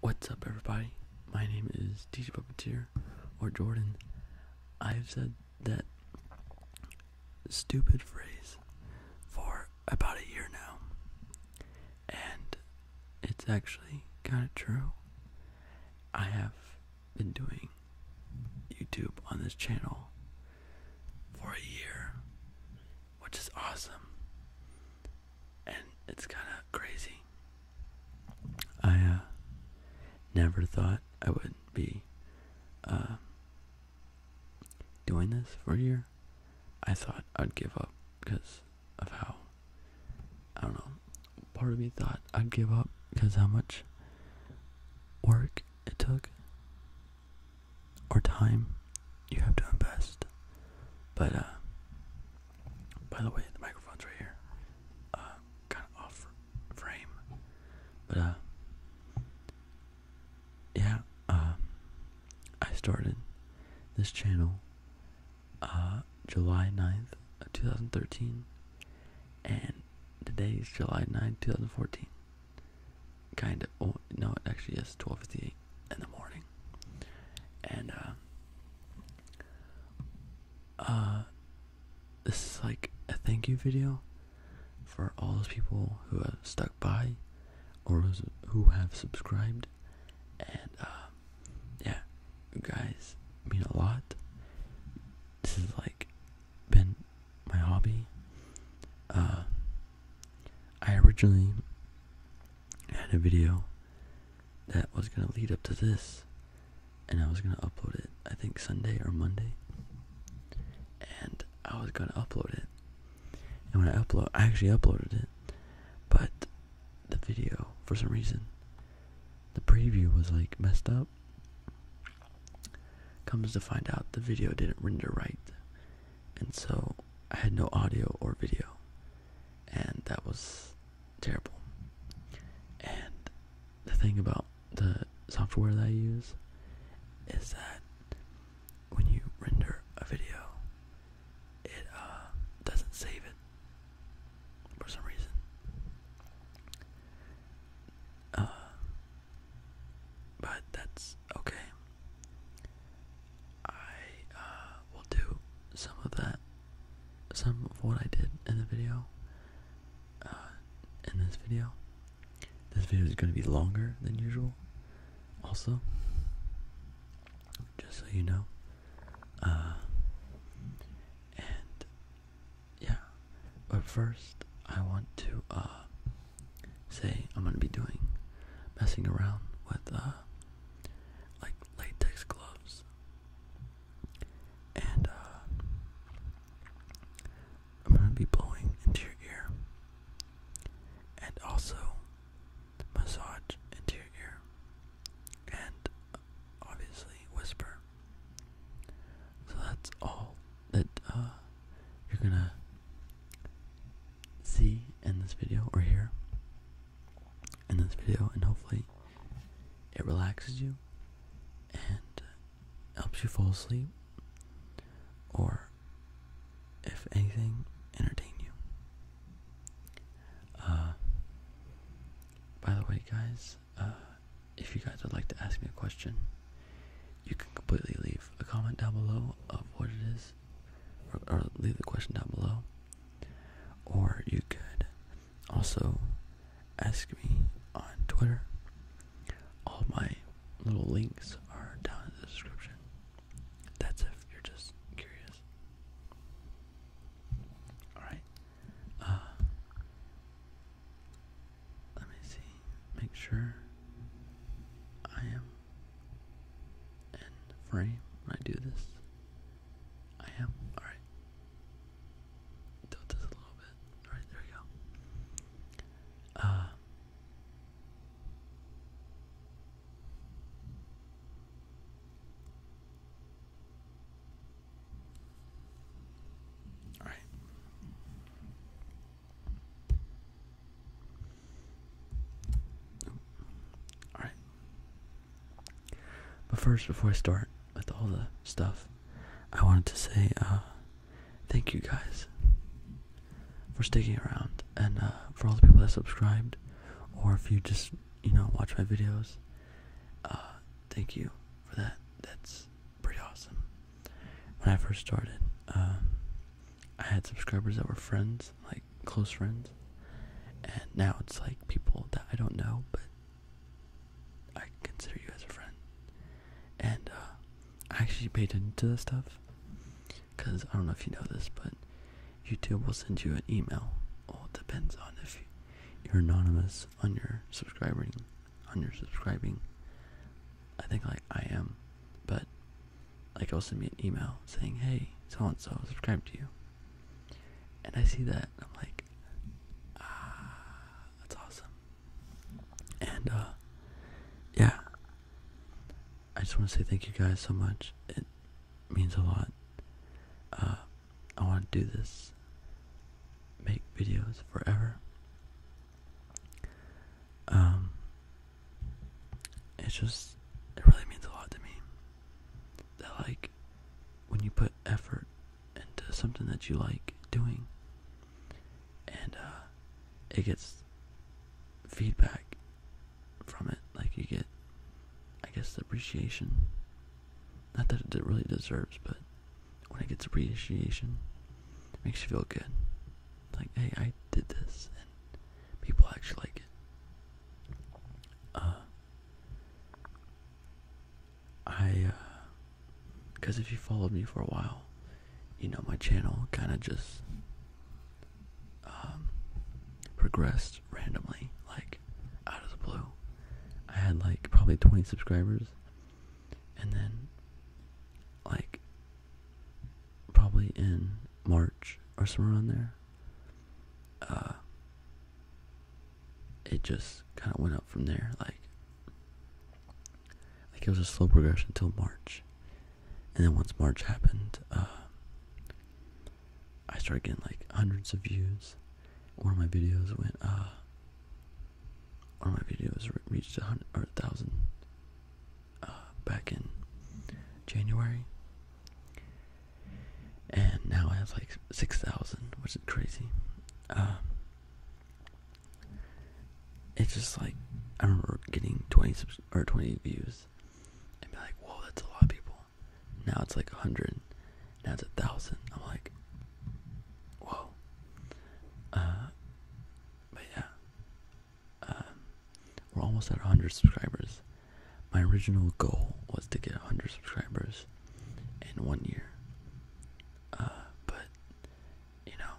What's up, everybody? My name is DJ Puppeteer, or Jordan. I've said that stupid phrase for about a year now, and it's actually kind of true. I have been doing YouTube on this channel for a year, which is awesome and it's kind of crazy. I uh, never thought I would be uh, doing this for a year. I thought I'd give up because of how I don't know. Part of me thought I'd give up because how much work it took or time you have to invest. But uh, by the way, the microphone's right here. Uh, kind of off frame, but uh, yeah. Um, I started this channel uh, July 9th, two thousand thirteen, and today is July 9th, two thousand fourteen. Kind of. Oh no, it actually is twelve fifty eight in the morning, and uh, uh, this is like a thank you video for all those people who have stuck by or who have subscribed, and uh, yeah, you guys mean a lot. This has like been my hobby. I originally had a video that was going to lead up to this. And I was going to upload it, I think Sunday or Monday. And I was going to upload it. And when I upload, I actually uploaded it. But the video, for some reason, the preview was like messed up. Comes to find out the video didn't render right. And so I had no audio or video and that was terrible. And the thing about the software that I use is that when you render a video, it uh, doesn't save it for some reason. Uh, but that's okay. I uh, will do some of that, some of what I did in the video, uh, in this video. This video is going to be longer than usual, also, just so you know. Uh, and yeah, but first I want to say I'm going to be doing messing around with like latex gloves. And uh, I'm gonna be blowing into your ear, and also massage into your ear, and obviously whisper. So that's all that uh, you're gonna see in this video or here in this video and hopefully it relaxes you and uh, helps you fall asleep or if anything entertain you uh by the way guys uh, if you guys would like to ask me a question you can completely leave a comment down below of what it is or, leave the question down below. Or you could also ask me on Twitter. All my little links are down in the description. That's if you're just curious. Alright. Uh, let me see. Make sure I am and frame when I do this. I am alright. Tilt this a little bit. Alright, there we go. Uh, all right. All right. But first, before I start with all the stuff, I wanted to say uh, thank you guys for sticking around and uh, for all the people that subscribed, or if you just you know watch my videos, uh, thank you for that. That's pretty awesome. When I first started, um, I had subscribers that were friends like close friends, and now it's like people that I don't know, but I consider you as a friend. And uh, I actually paid into to this stuff because I don't know if you know this, but YouTube will send you an email. Well, depends on if you're anonymous on your subscribing, on your subscribing. I think like I am, but like it'll send me an email saying, "Hey, so and so subscribed to you," and I see that I'm like, "Ah, that's awesome." And uh, yeah, I just want to say thank you guys so much. It means a lot. Uh, I want to do this, make videos forever. Um, it's just it really means a lot to me that like when you put effort into something that you like doing and uh, it gets feedback from it like you get i guess appreciation not that it really deserves but when it gets appreciation it makes you feel good like hey i did this and people actually like it uh, I, because uh, if you followed me for a while, you know my channel kind of just um, progressed randomly, like out of the blue. I had like probably 20 subscribers, and then, like, probably in March or somewhere around there, uh, it just kind of went up from there. Like, like it was a slow progression until March, and then once March happened, uh, I started getting like hundreds of views. One of my videos went, uh, one of my videos reached a hundred or a thousand back in January, and now it has like 6,000, which is crazy. Um, it's just like I remember getting 20 or 20 views and be like, whoa, that's a lot of people. Now it's like 100, now it's a thousand. I'm like, whoa. Uh, but yeah, um, we're almost at 100 subscribers. My original goal was to get 100 subscribers in one year. Uh, but, you know,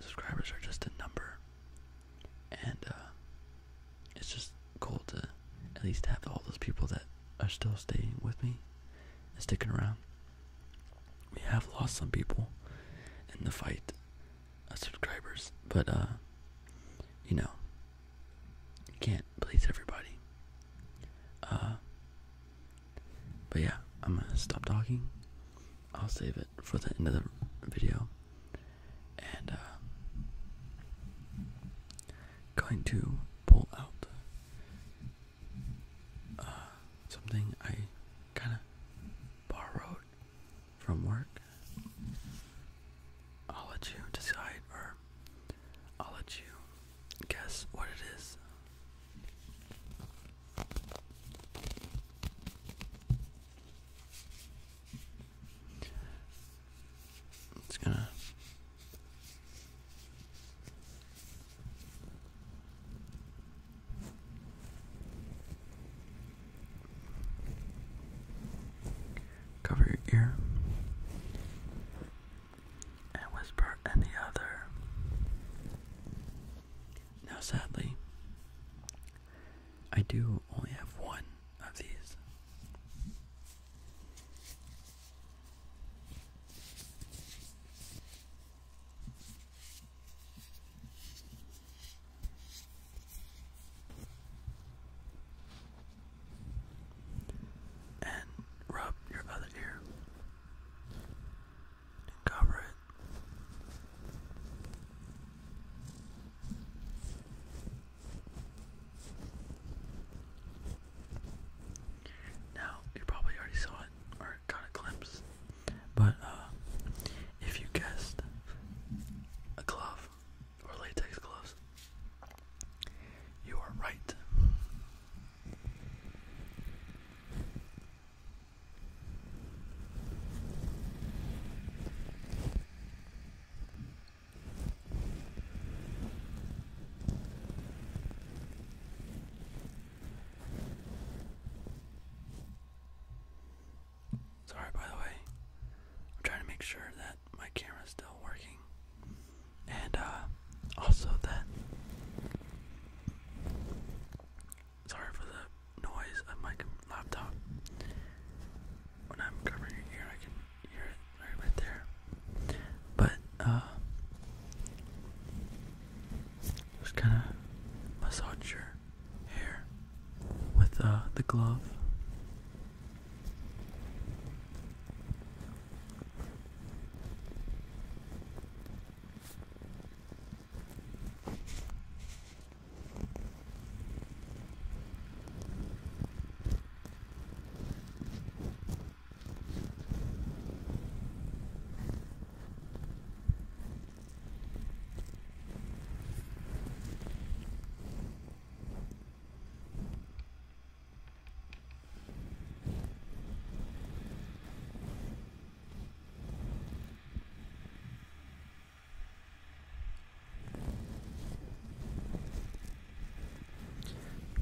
subscribers are just a number. And uh, it's just cool to at least have all those people that are still staying with me and sticking around. We have lost some people in the fight of subscribers, but, uh, you know, you can't please everybody. Uh, but yeah, I'm gonna stop talking. I'll save it for the end of the video. And, uh, going to pull out, uh, something I kinda borrowed from work, I'll let you decide, or I'll let you guess what it is. It's gonna. Cover your ear and whisper in the other. Now, sadly, I do only have one of these. And rub your other ear cover it. Now, you probably already saw it or got a glimpse, but uh, if you guessed a glove, or latex gloves. You are right. Sorry, by the way. I'm trying to make sure that my camera's still working. And, uh, also that. Sorry for the noise of my laptop. When I'm covering your I can hear it right, there. But, uh, just kind of massage your hair with uh, the glove.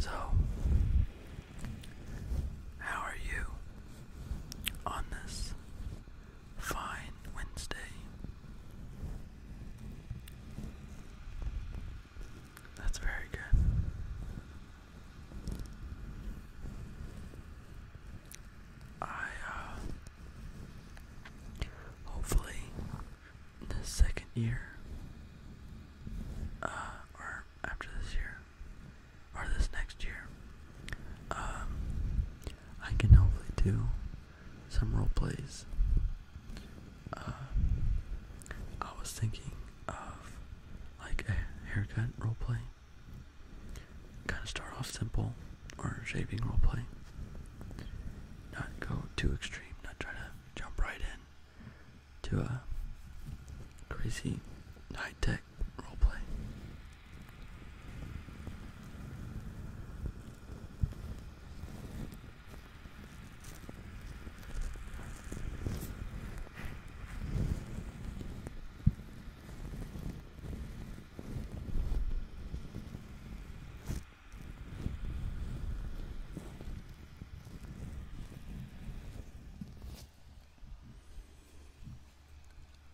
So, how are you on this Fine Wednesday. That's very good. I, uh, hopefully, this second year, uh, or after this year, or this next year, um, I can hopefully do some role plays. Uh, I was thinking of like a haircut role play. Kind of start off simple or shaving role play. Not go too extreme, not try to jump right in to a crazy high tech role play.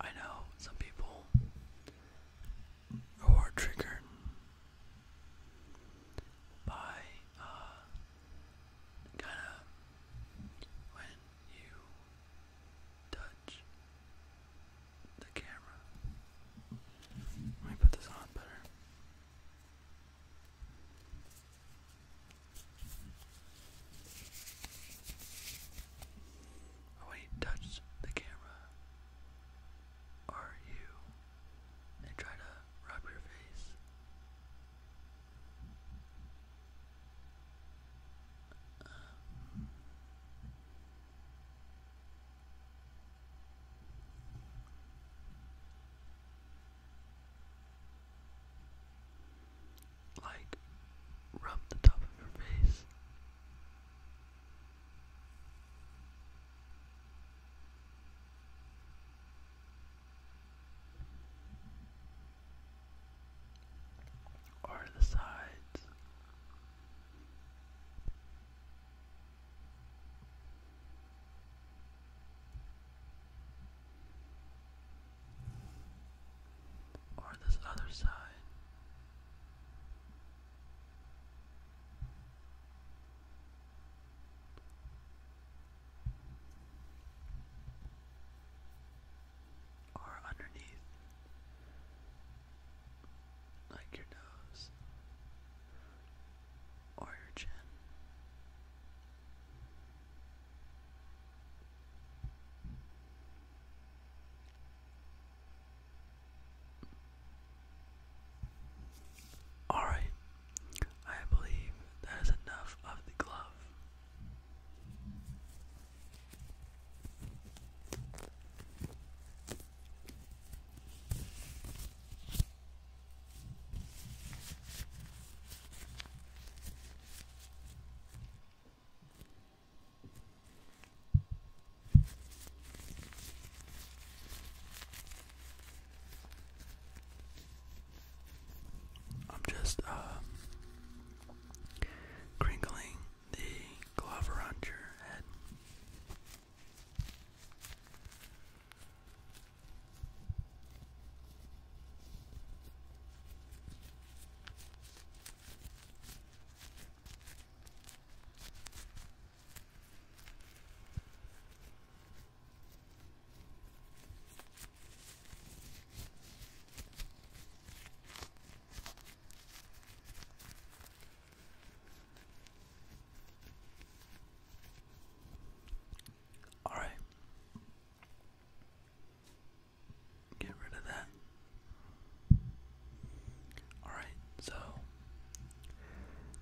I know some people or triggered by uh, kind of when you touch the camera. Let me put this on better. When you touch the camera, are you? They try to rub your face. Um, like, rub the top of your face or the sides. Or this other side, or underneath, like your nose or your chin. Alright, I believe that is enough of the glove. I'm just um, crinkling the glove around your head. All right. Get rid of that. Alright, so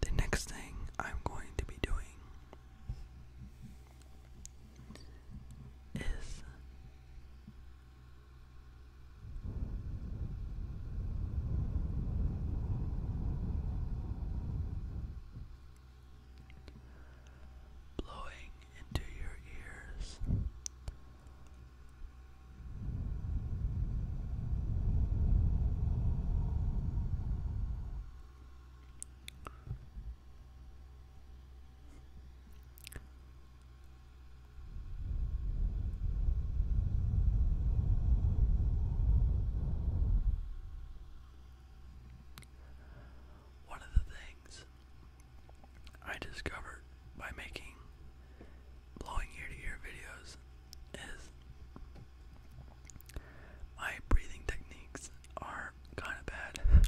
the next thing I'm going to be doing is blowing into your ears one of the things I discovered by making blowing ear to ear videos is my breathing techniques are kind of bad.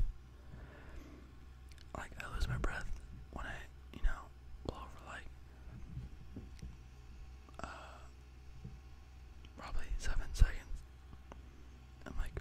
like I lose my breath when I, you know, blow for like uh, probably seven seconds. I'm like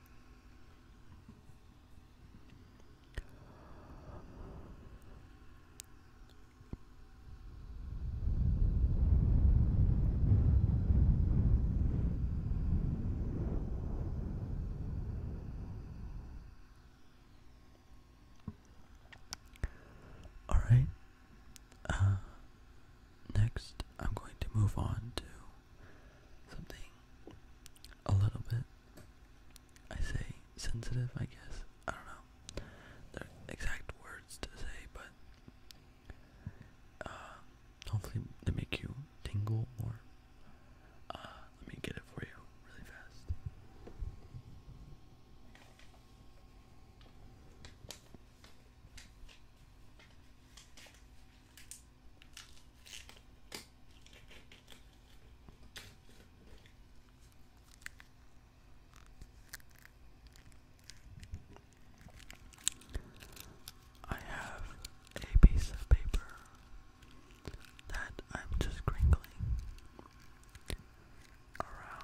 All right. Uh, next, I'm going to move on to something a little bit, I say sensitive, I guess. I don't know the exact words to say, but uh, hopefully they make you tingle more. Uh, let me get it for you really fast. I have a piece of paper that I'm just crinkling around your head.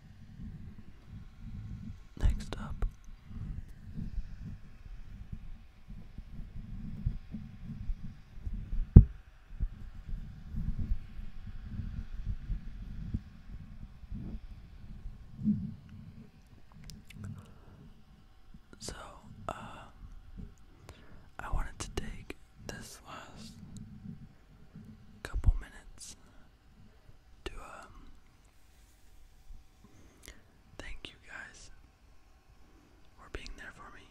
Next up, so uh, I wanted to take this last couple minutes to um thank you guys for being there for me.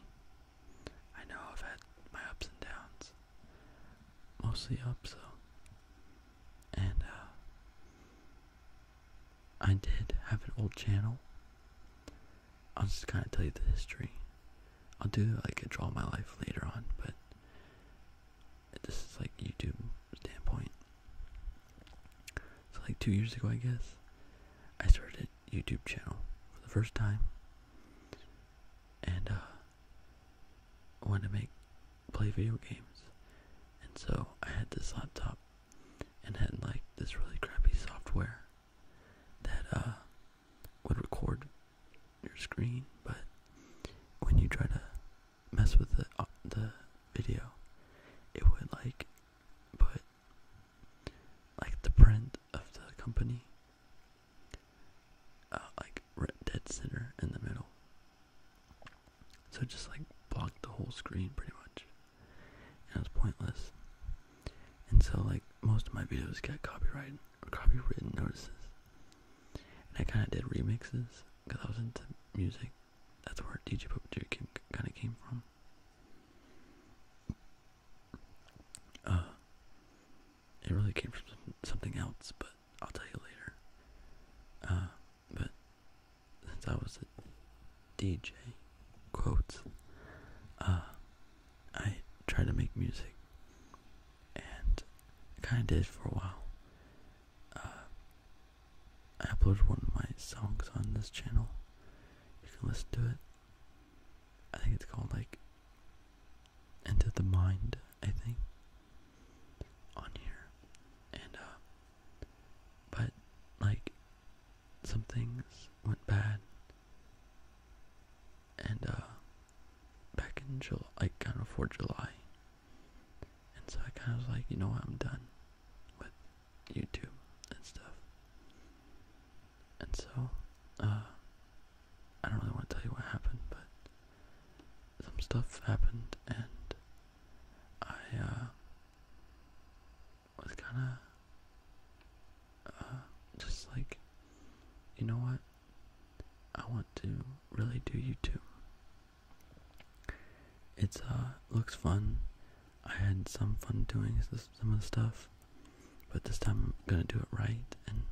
I know I've had my ups and downs. Mostly ups So, And uh, I did have an old channel. I'll just kinda tell you the history. I'll do like a draw my life later on, but this is like YouTube standpoint. So like two years ago, I guess, I started a YouTube channel for the first time, and uh, wanted to make play video games, and so I had this laptop, and had like this really crappy software that uh would record your screen, but when you try to mess with the uh, the video, it would like put like the print of the company uh, like dead center in the middle. So just like blocked the whole screen pretty much. And it pointless. And so like most of my videos get copyright copywritten notices. And I kind of did remixes because I was into music. That's where DJ Pope Duke kind of came from. Uh, it really came from something else, but I'll tell you later. Uh, but since I was a DJ, quotes, uh, I tried to make music and kind of did for a while. I uh, uploaded one of my songs on this channel. You can listen to it. I think it's called like Into the Mind, I think, on here. And, uh, but like some things went bad, and, uh, back in July, like kind of for July. And so I kind of was like, you know what, I'm done with YouTube and stuff. And so, uh, I don't really want to tell you what happened, but some stuff happened and I, uh, was kind of, uh, just like, you know what, I want to really do YouTube. It's uh looks fun. I had some fun doing some of the stuff, but this time I'm gonna do it right and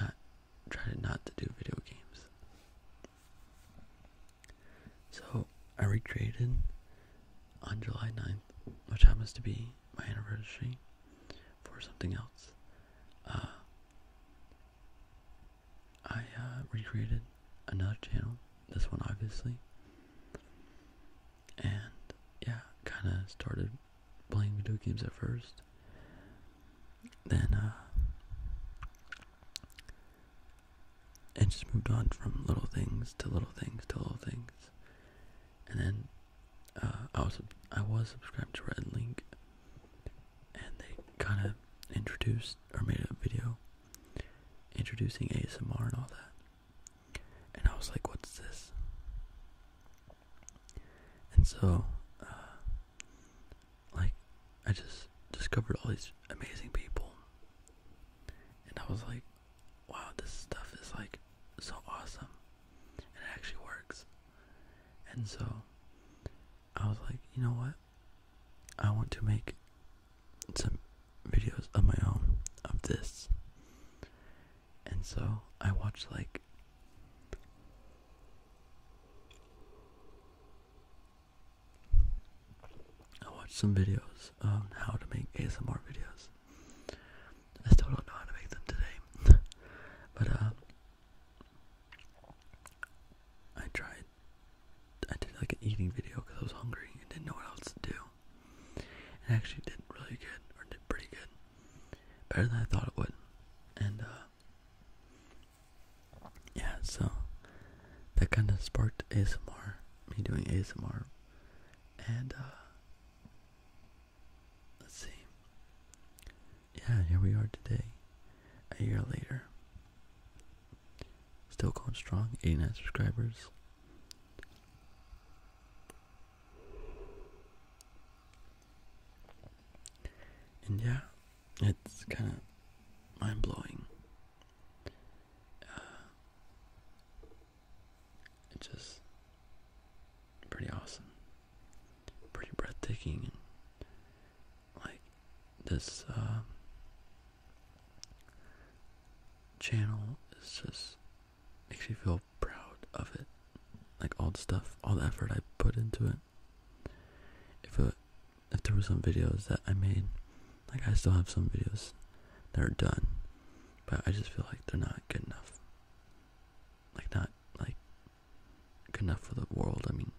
not try not to do video games. So I recreated on July 9th, which happens to be my anniversary, for something else. Uh, I uh, recreated another channel, this one obviously, and yeah, kind of started playing video games at first. Then uh, it just moved on from little things to little things to little things, and then uh, I was I was subscribed to Red Link, and they kind of introduced or made a video introducing ASMR and all that, and I was like, "What's this?" And so, uh, like, I just discovered all these amazing people, and I was like, "Wow, this stuff is like so awesome." and it actually works. And so I was like, you know what? I want to make some videos of my own of this. And so I watched like I watched some videos on how to make ASMR videos. I still don't know how to make them today. but uh I tried. I did like an eating video because I was hungry and didn't know what else to do. It actually did really good, or did pretty good, better than I thought it would. And uh, yeah, so that kind of sparked ASMR, me doing ASMR, and uh, let's see. Yeah, here we are today, a year later. Still going strong, 89 subscribers. And yeah, it's kind of mind blowing. Uh, it's just pretty awesome pretty breathtaking and like this uh, channel is just makes me feel proud of it like all the stuff all the effort I put into it if a if there were some videos that I made like I still have some videos that are done but I just feel like they're not good enough like not like good enough for the world. I mean,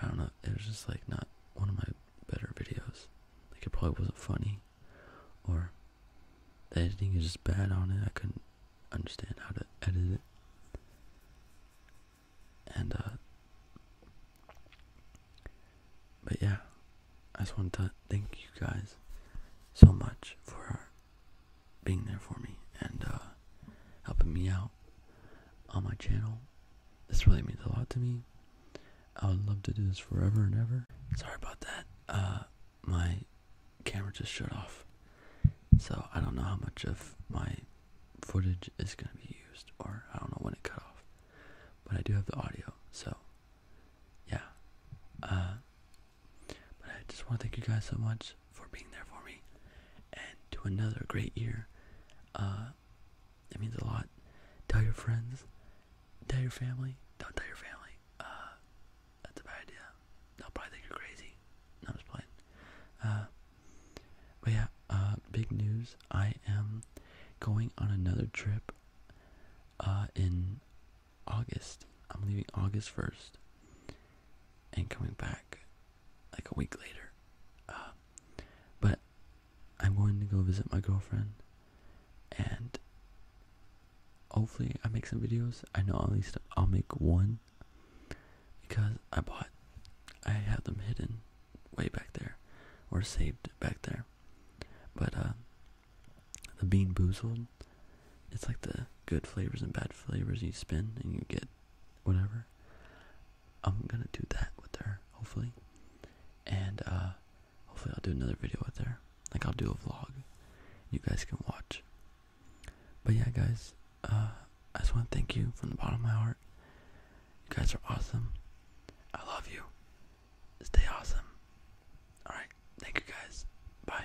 I don't know. It was just like not one of my better videos. Like it probably wasn't funny, or the editing is just bad on it. I couldn't understand how to edit it, and uh, but yeah, I just want to thank you guys so much for being there for me and uh, helping me out on my channel. This really means a lot to me. I would love to do this forever and ever. Sorry about that. Uh, my camera just shut off. So I don't know how much of my footage is going to be used or I don't know when it cut off. But I do have the audio. So yeah. Uh, but I just want to thank you guys so much for being there for me and to another great year. Uh, it means a lot. Tell your friends, tell your family, don't tell your family. Uh, that's a bad idea. They'll probably think you're crazy. No, I'm uh, but yeah, uh, big news. I am going on another trip in August. I'm leaving August 1st and coming back like a week later. Uh, but I'm going to go visit my girlfriend and hopefully I make some videos. I know at least I'll make one because I bought, I have them hidden way back there or saved back there. But uh, the Bean Boozled it's like the good flavors and bad flavors you spin and you get whatever. I'm gonna do that with her, hopefully. And uh hopefully I'll do another video with her. Like I'll do a vlog. You guys can watch. But yeah guys, uh I just wanna thank you from the bottom of my heart. You guys are awesome. I love you. Stay awesome. Alright, thank you guys. Bye.